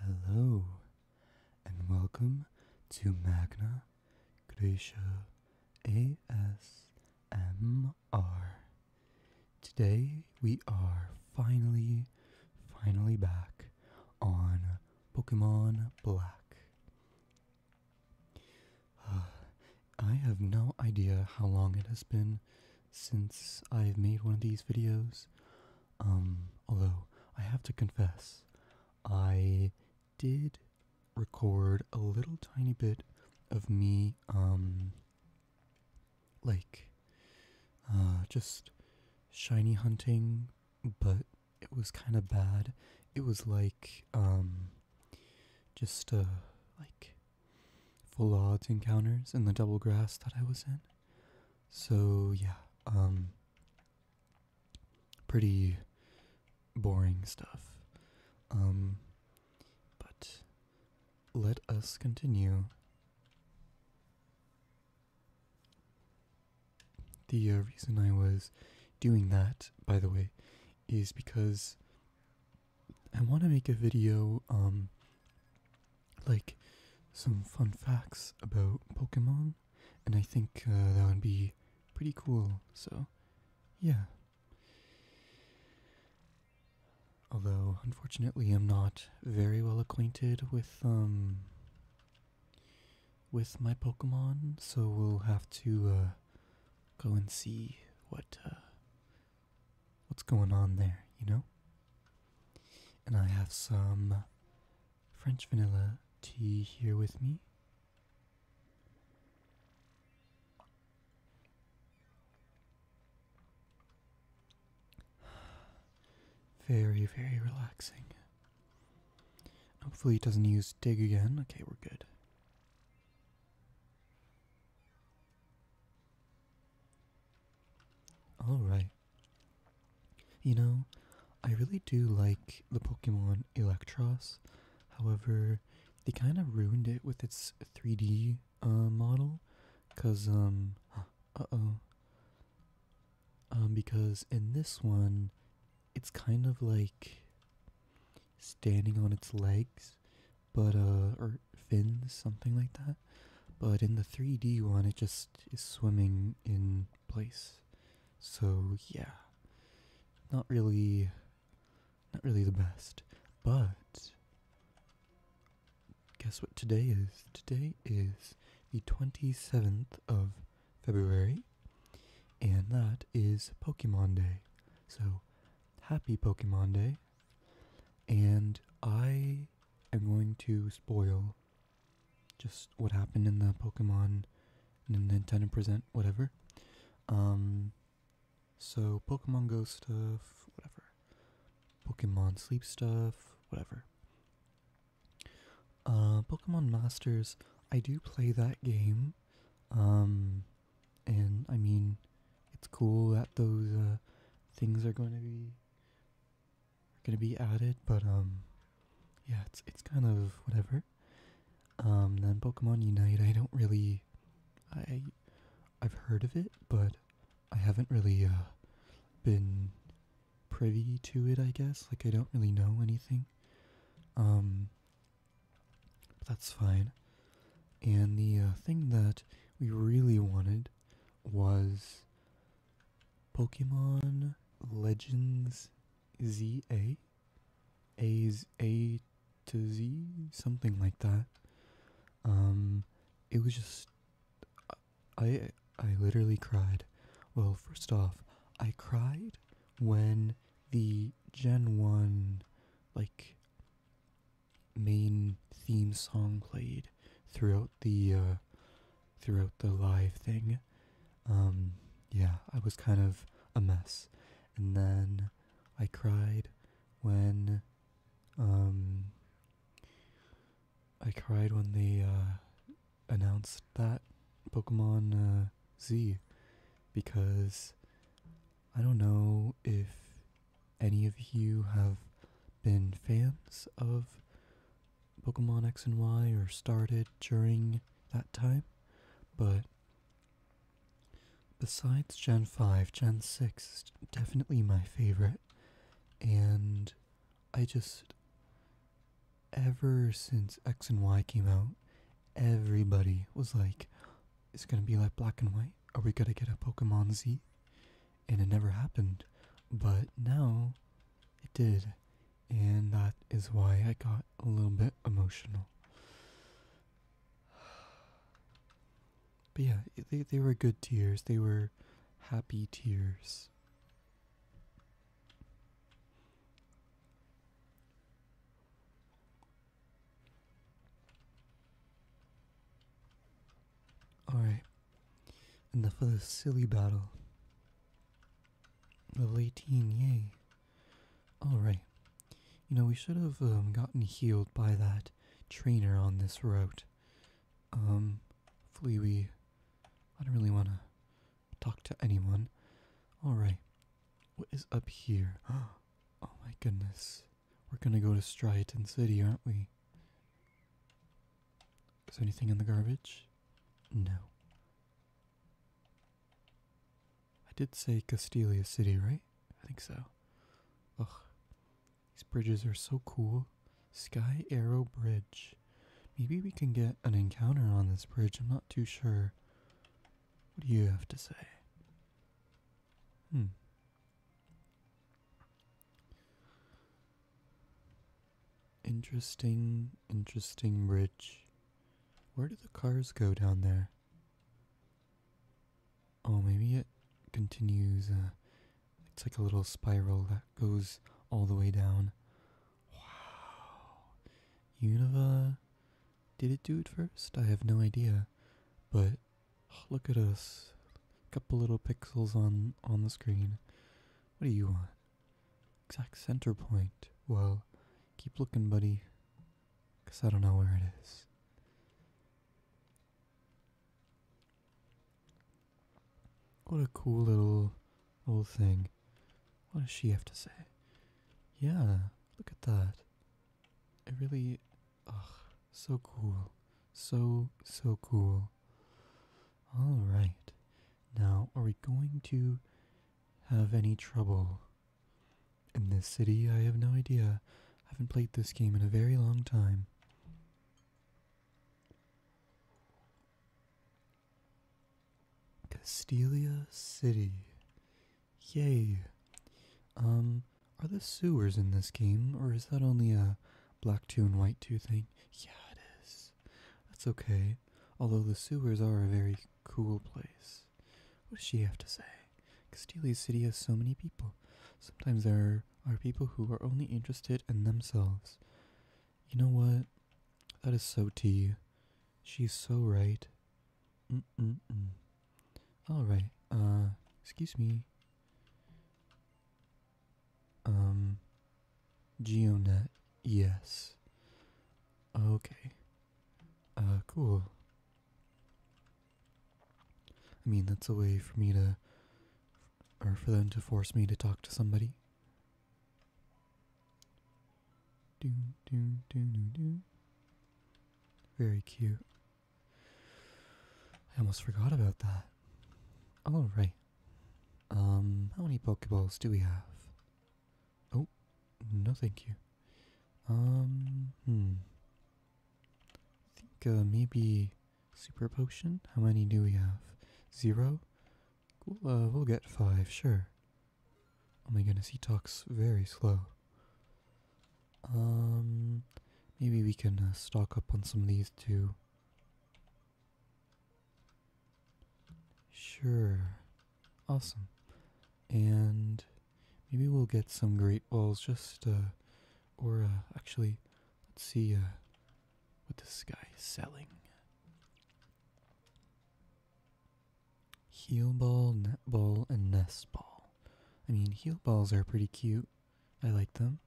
Hello, and welcome to Magna Graecia ASMR. Today we are finally, finally back on Pokemon Black. Ah, I have no idea how long it has been since I've made one of these videos. Um, although I have to confess, I did record a little tiny bit of me, um, like, uh, just shiny hunting, but it was kind of bad. It was like, um, just, uh, like full odds encounters in the double grass that I was in. So yeah, um pretty boring stuff. Um but let us continue. The uh, reason I was doing that, by the way, is because I want to make a video um like some fun facts about Pokemon, and I think uh, that would be pretty cool. So, yeah. Although, unfortunately, I'm not very well acquainted with um with my Pokemon, so we'll have to uh, go and see what uh, what's going on there, you know? And I have some French vanilla tea here with me. Very, very relaxing. Hopefully, it doesn't use dig again. Okay, we're good. Alright. You know, I really do like the Pokemon Electros. However, they kind of ruined it with its 3D uh, model. Because, um, uh oh. Um, because in this one, it's kind of like standing on its legs, but, uh, or fins, something like that. But in the 3D one, it just is swimming in place. So yeah, not really, not really the best. But guess what today is? Today is the 27th of February, and that is Pokemon Day. So happy Pokemon Day. And I I'm going to spoil just what happened in the Pokemon Nintendo present, whatever. Um, so Pokemon Go stuff, whatever. Pokemon Sleep stuff, whatever. Uh, Pokemon Masters, I do play that game. Um, and I mean, it's cool that those uh, things are going to be gonna be added, but um, yeah, it's it's kind of whatever. Um, then Pokemon Unite, I don't really, I, I've heard of it, but I haven't really uh been privy to it. I guess like I don't really know anything. Um, that's fine. And the uh, thing that we really wanted was Pokemon Legends ZA, something like that. Um, it was just I I literally cried. Well, first off, I cried when the Gen 1 like main theme song played throughout the uh, throughout the live thing. Um, yeah, I was kind of a mess, and then I cried when um, I cried when they uh, announced that Pokemon uh, Z because I don't know if any of you have been fans of Pokemon X and Y or started during that time, but besides Gen 5, Gen 6 is definitely my favorite, and I just, ever since X and Y came out, everybody was like, it's gonna be like black and white. Are we gonna get a Pokemon Z? and it never happened. But now it did. And that is why I got a little bit emotional. But yeah, they, they were good tears. They were happy tears. Alright. Enough of this silly battle. Level 18, yay. Alright. You know, we should have um, gotten healed by that trainer on this route. Um, hopefully we... I don't really want to talk to anyone. Alright. What is up here? Oh my goodness. We're gonna go to Striaton City, aren't we? Is there anything in the garbage? No. I did say Castilia City, right? I think so. Ugh. These bridges are so cool. Sky Arrow Bridge. Maybe we can get an encounter on this bridge, I'm not too sure. What do you have to say? Hmm, Interesting, interesting bridge. Where do the cars go down there? Oh, maybe it continues. Uh, it's like a little spiral that goes all the way down. Wow. Unova. Did it do it first? I have no idea. But look at us. a Couple little pixels on on the screen. What do you want? Exact center point. Well, keep looking, buddy, 'cause I don't know where it is. What a cool little little thing. What does she have to say? Yeah, look at that. It really Oh, so cool. So, so cool. Alright. Now, are we going to have any trouble in this city? I have no idea. I haven't played this game in a very long time. Castelia City. Yay. Um, are the sewers in this game, or is that only a black 2 and white 2 thing? Yeah, it is. That's okay, although the sewers are a very cool place. What does she have to say? Castilia City has so many people. Sometimes there are people who are only interested in themselves. You know what? That is so T. She's so right. Mm-mm-mm. Alright, uh, excuse me. Um, GeoNet, yes. Okay. Uh, cool. I mean, that's a way for me to, or for them to force me to talk to somebody. Do, do, do, do, Very cute. I almost forgot about that. Alright. Um, how many Pokeballs do we have? Oh, no thank you. Um, hmm. I think uh, maybe Super Potion? How many do we have? Zero? Uh, we'll get five, sure. Oh my goodness, he talks very slow. Um, maybe we can uh, stock up on some of these too. Sure. Awesome. And maybe we'll get some great balls just, uh, or uh, actually, let's see uh, what this guy is selling. Heel ball, net ball, and nest ball. I mean, heel balls are pretty cute. I like them.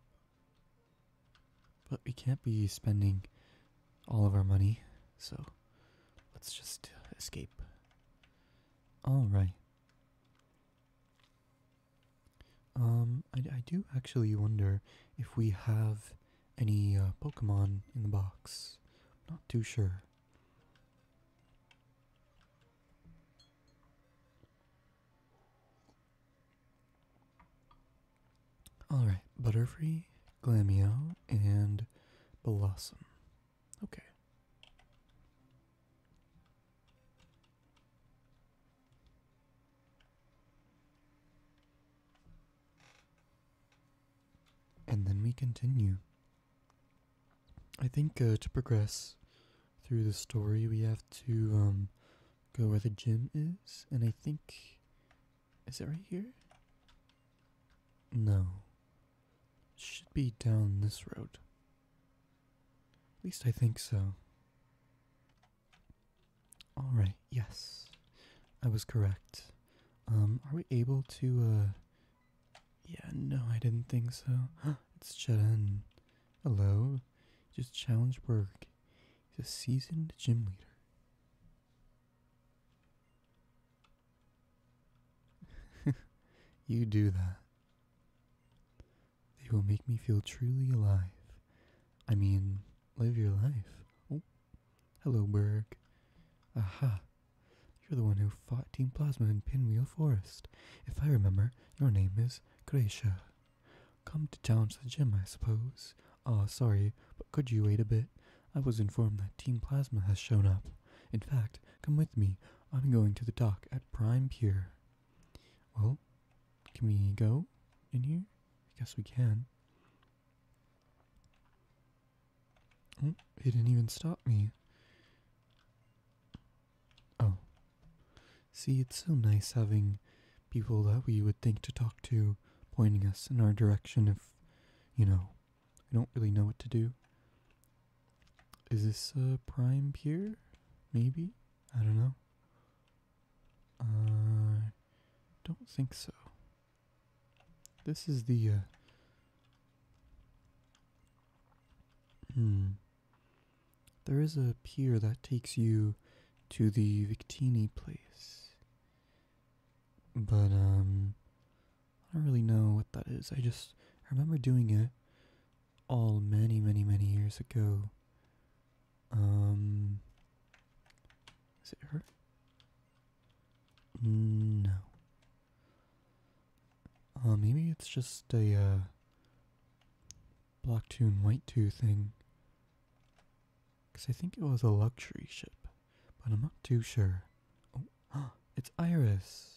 But we can't be spending all of our money, so let's just escape. Alright. Um, I, I do actually wonder if we have any uh, Pokemon in the box. not too sure. Alright, Butterfree, Glameo, and Blossom. Okay. And then we continue. I think uh, to progress through the story, we have to um, go where the gym is, and I think. Is it right here? No. Should be down this road. At least I think so. Alright, yes. I was correct. Um, are we able to, uh, yeah, no, I didn't think so. it's Jaden. Hello. just challenge Berg. He's a seasoned gym leader. you do that. They will make me feel truly alive. I mean, live your life. Oh, hello, Berg. Aha. You're the one who fought Team Plasma in Pinwheel Forest. If I remember, your name is Gracia. Come to challenge the gym, I suppose. Ah, sorry, but could you wait a bit? I was informed that Team Plasma has shown up. In fact, come with me. I'm going to the dock at Prime Pier. Well, can we go in here? I guess we can. Oh, it didn't even stop me. Oh. See, it's so nice having people that we would think to talk to pointing us in our direction if, you know, we don't really know what to do. Is this a prime pier? Maybe? I don't know. I uh, don't think so. This is the uh, Hmm. There is a pier that takes you to the Victini place. But, um, I don't really know what that is. I just I remember doing it all many, many, many years ago. Um, is it her? No. Uh, maybe it's just a uh, Block 2 and White 2 thing. Because I think it was a luxury ship, but I'm not too sure. Oh, it's Iris!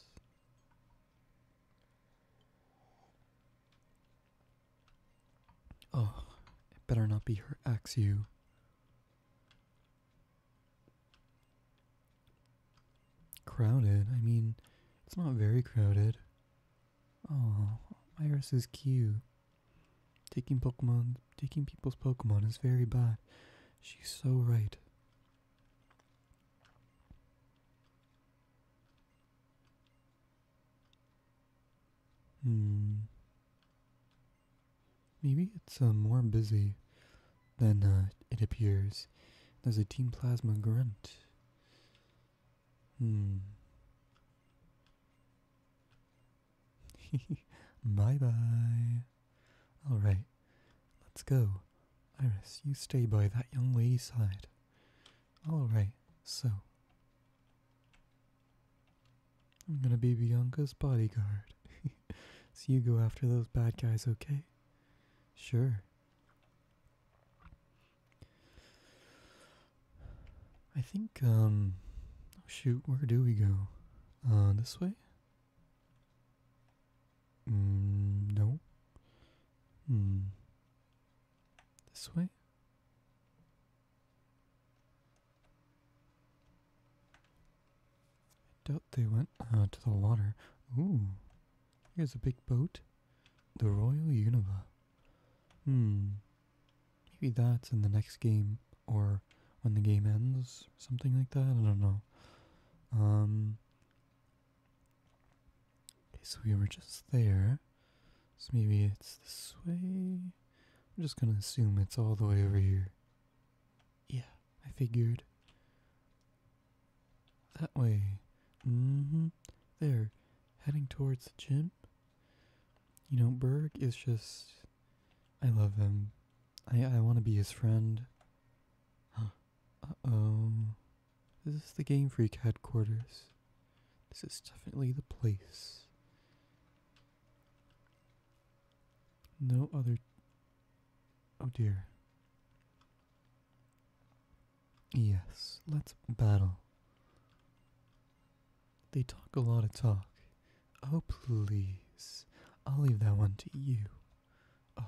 Oh, it better not be her axe you. Crowded? I mean, it's not very crowded. Oh, Iris is cute. Taking Pokemon, taking people's Pokemon is very bad. She's so right. Hmm. Maybe it's uh, more busy. Then uh, it appears there's a Team Plasma grunt. Hmm. bye bye. Alright, let's go. Iris, you stay by that young lady's side. Alright, so. I'm gonna be Bianca's bodyguard. so you go after those bad guys, okay? Sure. I think, um, oh shoot, where do we go? Uh, this way? Mm, no. Hmm. This way? they went uh, to the water. Ooh, here's a big boat. The Royal Unova. Hmm. Maybe that's in the next game or when the game ends, something like that. I don't know. Um. Okay, so we were just there. So maybe it's this way. I'm just gonna assume it's all the way over here. Yeah, I figured. That way. Mm-hmm. There. Heading towards the gym. You know, Berg is just I love him. I I wanna be his friend. Uh oh. This is the Game Freak headquarters. This is definitely the place. No other. Oh dear. Yes, let's battle. They talk a lot of talk. Oh, please. I'll leave that one to you. Ugh.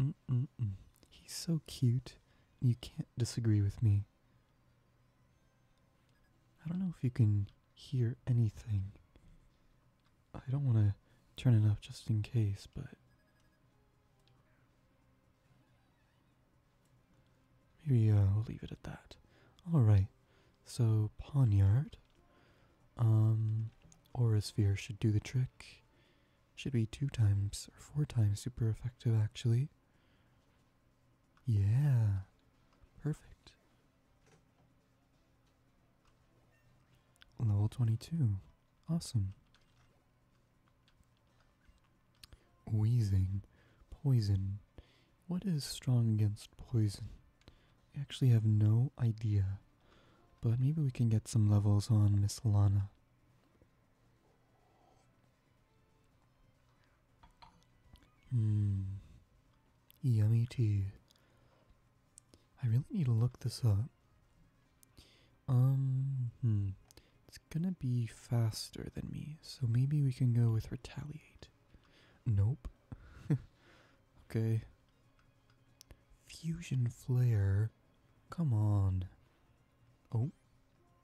Mm-mm-mm. He's so cute. You can't disagree with me. I don't know if you can hear anything. I don't want to turn it up just in case, but maybe i uh, will leave it at that. All right. So poniard, um, aura sphere should do the trick. Should be two times or four times super effective actually. Yeah, perfect. Level 22. Awesome. Wheezing. Poison. What is strong against poison? I actually have no idea. But maybe we can get some levels on Miss Lana. Hmm. Yummy tea. I really need to look this up. Um, hmm. It's gonna be faster than me, so maybe we can go with retaliate. Nope. okay. Fusion flare. Come on. Oh,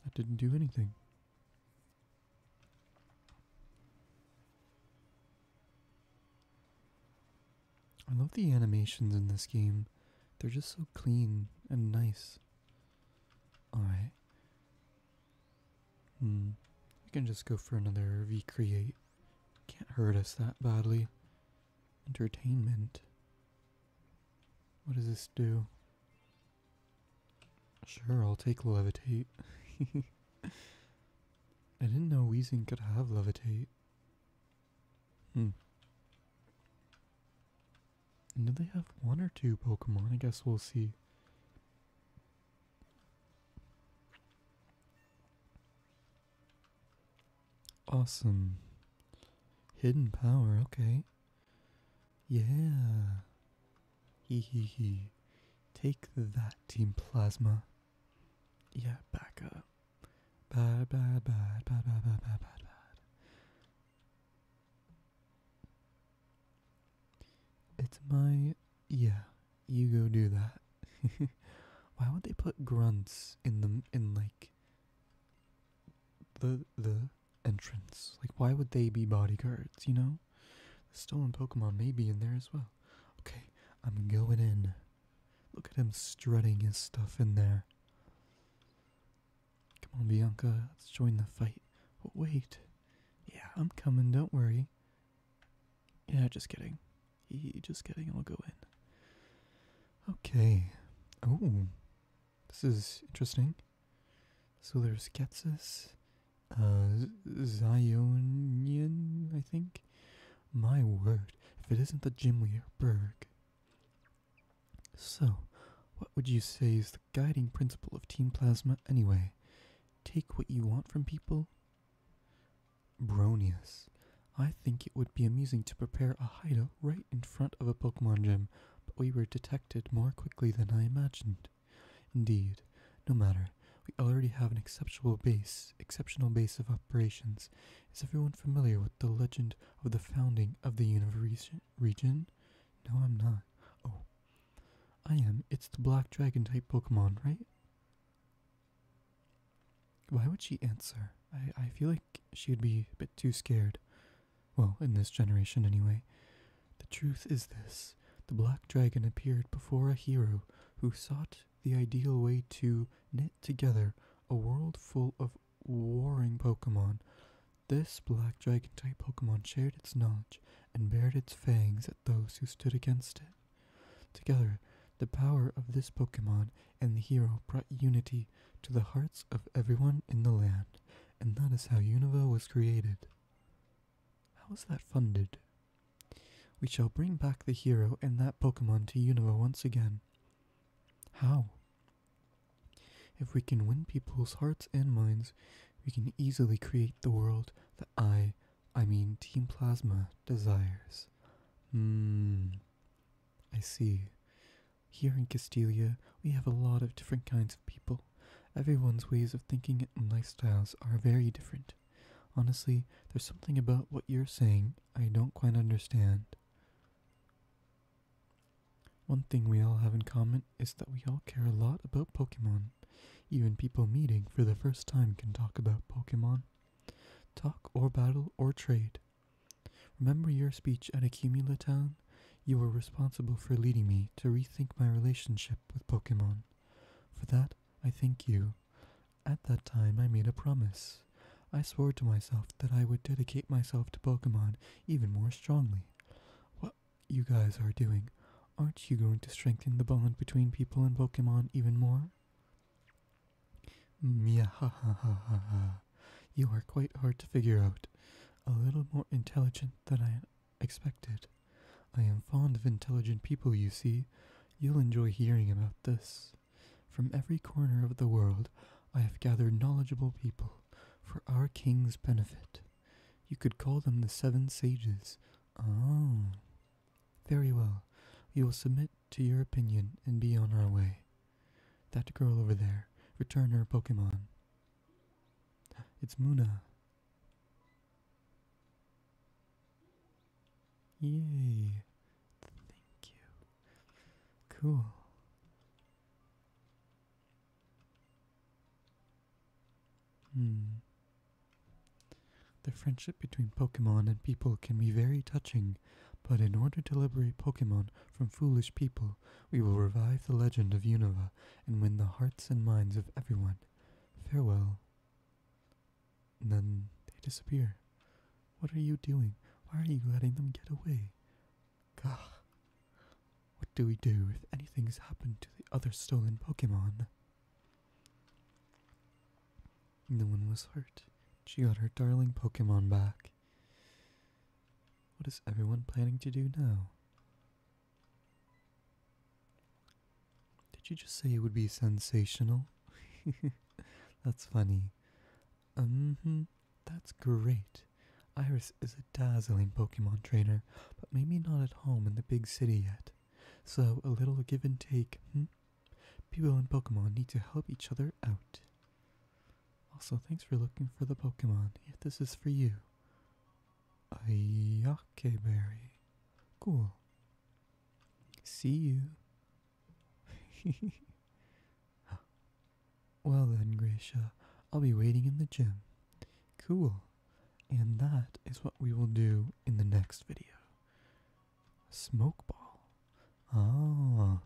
that didn't do anything. I love the animations in this game. They're just so clean and nice. Alright. Hmm. We can just go for another recreate. Can't hurt us that badly. Entertainment. What does this do? Sure, I'll take levitate. I didn't know Weezing could have levitate. Hmm. And do they have one or two Pokemon? I guess we'll see. Awesome. Hidden power, okay. Yeah. Hee hee hee. Take that, Team Plasma. Yeah, back up. Bad, bad, bad, bad, bad, bad, bad, bad, It's my. Yeah, you go do that. Why would they put grunts in the in like the the entrance? Like, why would they be bodyguards? You know, stolen Pokemon may be in there as well. Okay, I'm going in. Look at him strutting his stuff in there. Come on, Bianca, let's join the fight. Oh, wait. Yeah, I'm coming, don't worry. Yeah, just kidding. just kidding, I'll go in. Okay. Oh. This is interesting. So there's Ketsis, uh, Zionian, I think, my word, if it isn't the Gimli or Berg. So, what would you say is the guiding principle of Team Plasma anyway? Take what you want from people? Bronius. I think it would be amusing to prepare a hideout right in front of a Pokemon gym, but we were detected more quickly than I imagined. Indeed, no matter, we already have an exceptional base, exceptional base of operations. Is everyone familiar with the legend of the founding of the universe region? No, I'm not. Oh, I am. It's the black dragon type Pokemon, right? Why would she answer? I, I feel like she'd be a bit too scared. Well, in this generation anyway. The truth is this the black dragon appeared before a hero who sought the ideal way to knit together a world full of warring Pokemon. This black dragon type Pokemon shared its notch and bared its fangs at those who stood against it. Together, the power of this Pokemon and the hero brought unity to the hearts of everyone in the land, and that is how Unova was created. How was that funded? We shall bring back the hero and that Pokemon to Unova once again. How? If we can win people's hearts and minds, we can easily create the world that I, I mean Team Plasma, desires. Hmm. I see. Here in Castilia, we have a lot of different kinds of people. Everyone's ways of thinking and lifestyles are very different. Honestly, there's something about what you're saying I don't quite understand. One thing we all have in common is that we all care a lot about Pokemon. Even people meeting for the first time can talk about Pokemon. Talk or battle or trade. Remember your speech at Accumula Town? You were responsible for leading me to rethink my relationship with Pokemon. For that, I thank you. At that time, I made a promise. I swore to myself that I would dedicate myself to Pokemon even more strongly. What you guys are doing, aren't you going to strengthen the bond between people and Pokemon even more? Mia ha ha ha ha ha. You are quite hard to figure out. A little more intelligent than I expected. I am fond of intelligent people, you see. You'll enjoy hearing about this. From every corner of the world, I have gathered knowledgeable people for our king's benefit. You could call them the Seven Sages. Oh. Very well. We will submit to your opinion and be on our way. That girl over there, return her Pokemon. It's Muna. Yay. Thank you. Cool. Hmm. The friendship between Pokemon and people can be very touching, but in order to liberate Pokemon from foolish people, we will revive the legend of Unova and win the hearts and minds of everyone. Farewell then they disappear. What are you doing? Why are you letting them get away? Gah. What do we do if anything's happened to the other stolen Pokemon? No one was hurt. She got her darling Pokemon back. What is everyone planning to do now? Did you just say it would be sensational? that's funny. Um, mm that's great. Iris is a dazzling Pokemon trainer, but maybe not at home in the big city yet. So a little give and take, hmm? People and Pokemon need to help each other out. Also, thanks for looking for the Pokemon. If this is for you. Ayake berry. Cool. See you. well then, Gracia, I'll be waiting in the gym. Cool. And that is what we will do in the next video. Smoke ball. Ah,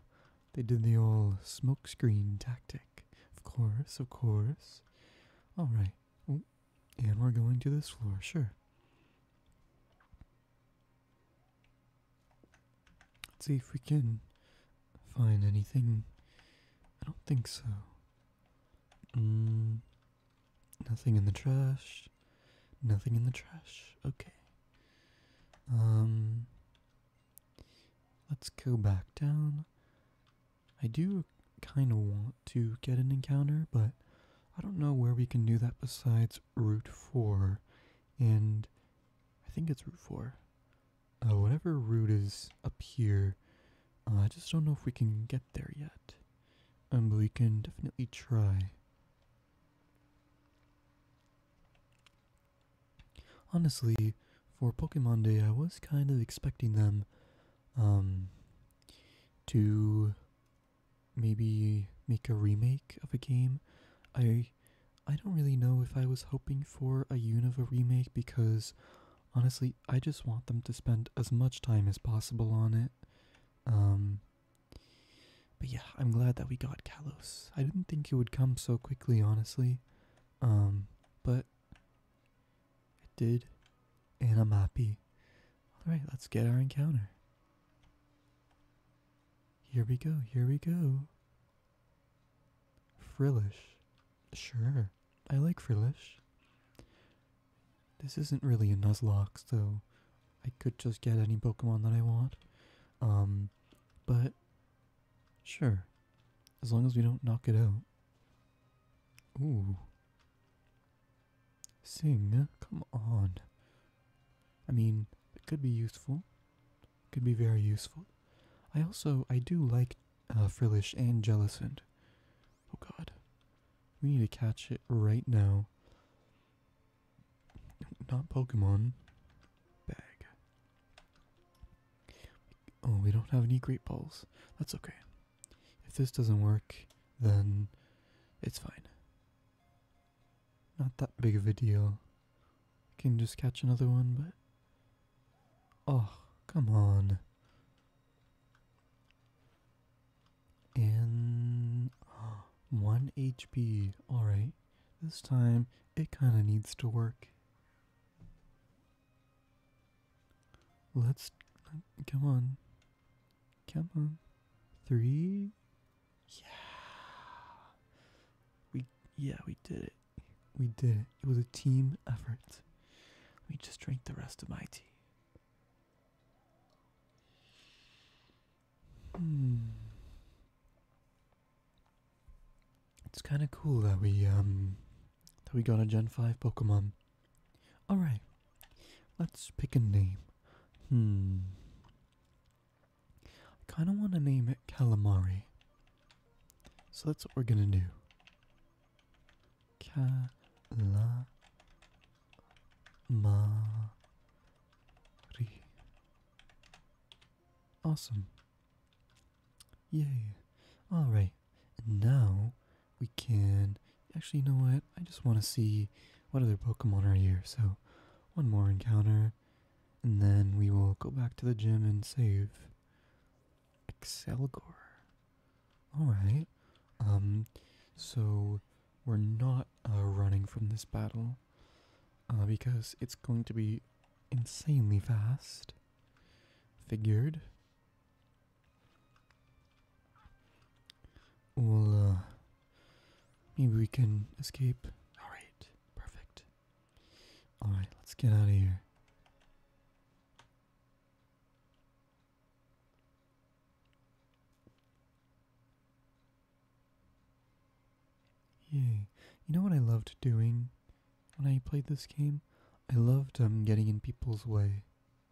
they did the old smokescreen tactic. Of course, of course. Alright, and we're going to this floor, sure. Let's see if we can find anything. I don't think so. Mm, nothing in the trash. Nothing in the trash. Okay. Um, let's go back down. I do kind of want to get an encounter, but I don't know where we can do that besides Route 4. And I think it's Route 4. Uh, whatever route is up here, uh, I just don't know if we can get there yet. Um, but we can definitely try. Honestly, for Pokemon Day, I was kind of expecting them um, to maybe make a remake of a game. I I don't really know if I was hoping for a Unova remake because honestly, I just want them to spend as much time as possible on it. Um but yeah, I'm glad that we got Kalos. I didn't think it would come so quickly, honestly. Um but it did, and I'm happy. Alright, let's get our encounter. Here we go, here we go. Frillish. Sure, I like Frillish. This isn't really a Nuzlocke, so I could just get any Pokemon that I want. Um, but sure, as long as we don't knock it out. Ooh, Sing, come on. I mean, it could be useful. Could be very useful. I also, I do like uh, Frillish and Jellicent. Oh god. We need to catch it right now. Not Pokemon. Bag. Oh, we don't have any Great Balls. That's okay. If this doesn't work, then it's fine. Not that big of a deal. I can just catch another one, but. Oh, come on. And. 1 HP. Alright. This time, it kinda needs to work. Let's come on. Come on. Three. Yeah. We yeah, we did it. We did it. It was a team effort. We just drank the rest of my tea. Hmm. It's kind of cool that we um that we got a Gen 5 Pokemon. Alright, let's pick a name. Hmm. I kind of want to name it Calamari. So that's what we're going to do. Calamari. Awesome. Yay. Alright. And now we can actually you know what? I just want to see what other Pokemon are here. So one more encounter. And then we will go back to the gym and save Excelgor. Alright. Um so we're not uh, running from this battle uh, because it's going to be insanely fast. Figured. We'll, uh, maybe we can escape. Alright, perfect. Alright, let's get out of here. Yay. You know what I loved doing when I played this game? I loved um, getting in people's way.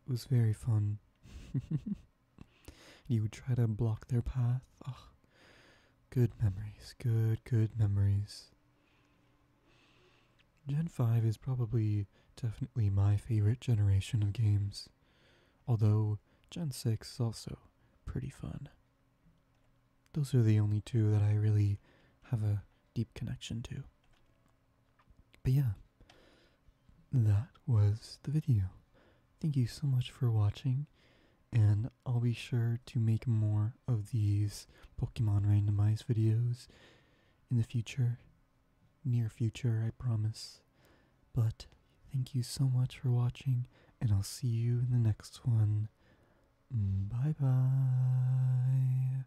It was very fun. you would try to block their path. good memories. Good, good memories. Gen 5 is probably definitely my favorite generation of games, although Gen 6 is also pretty fun. Those are the only two that I really have a deep connection to. But yeah, that was the video. Thank you so much for watching, and I'll be sure to make more of these Pokemon randomized videos in the future. Near future, I promise. But thank you so much for watching, and I'll see you in the next one. Bye bye.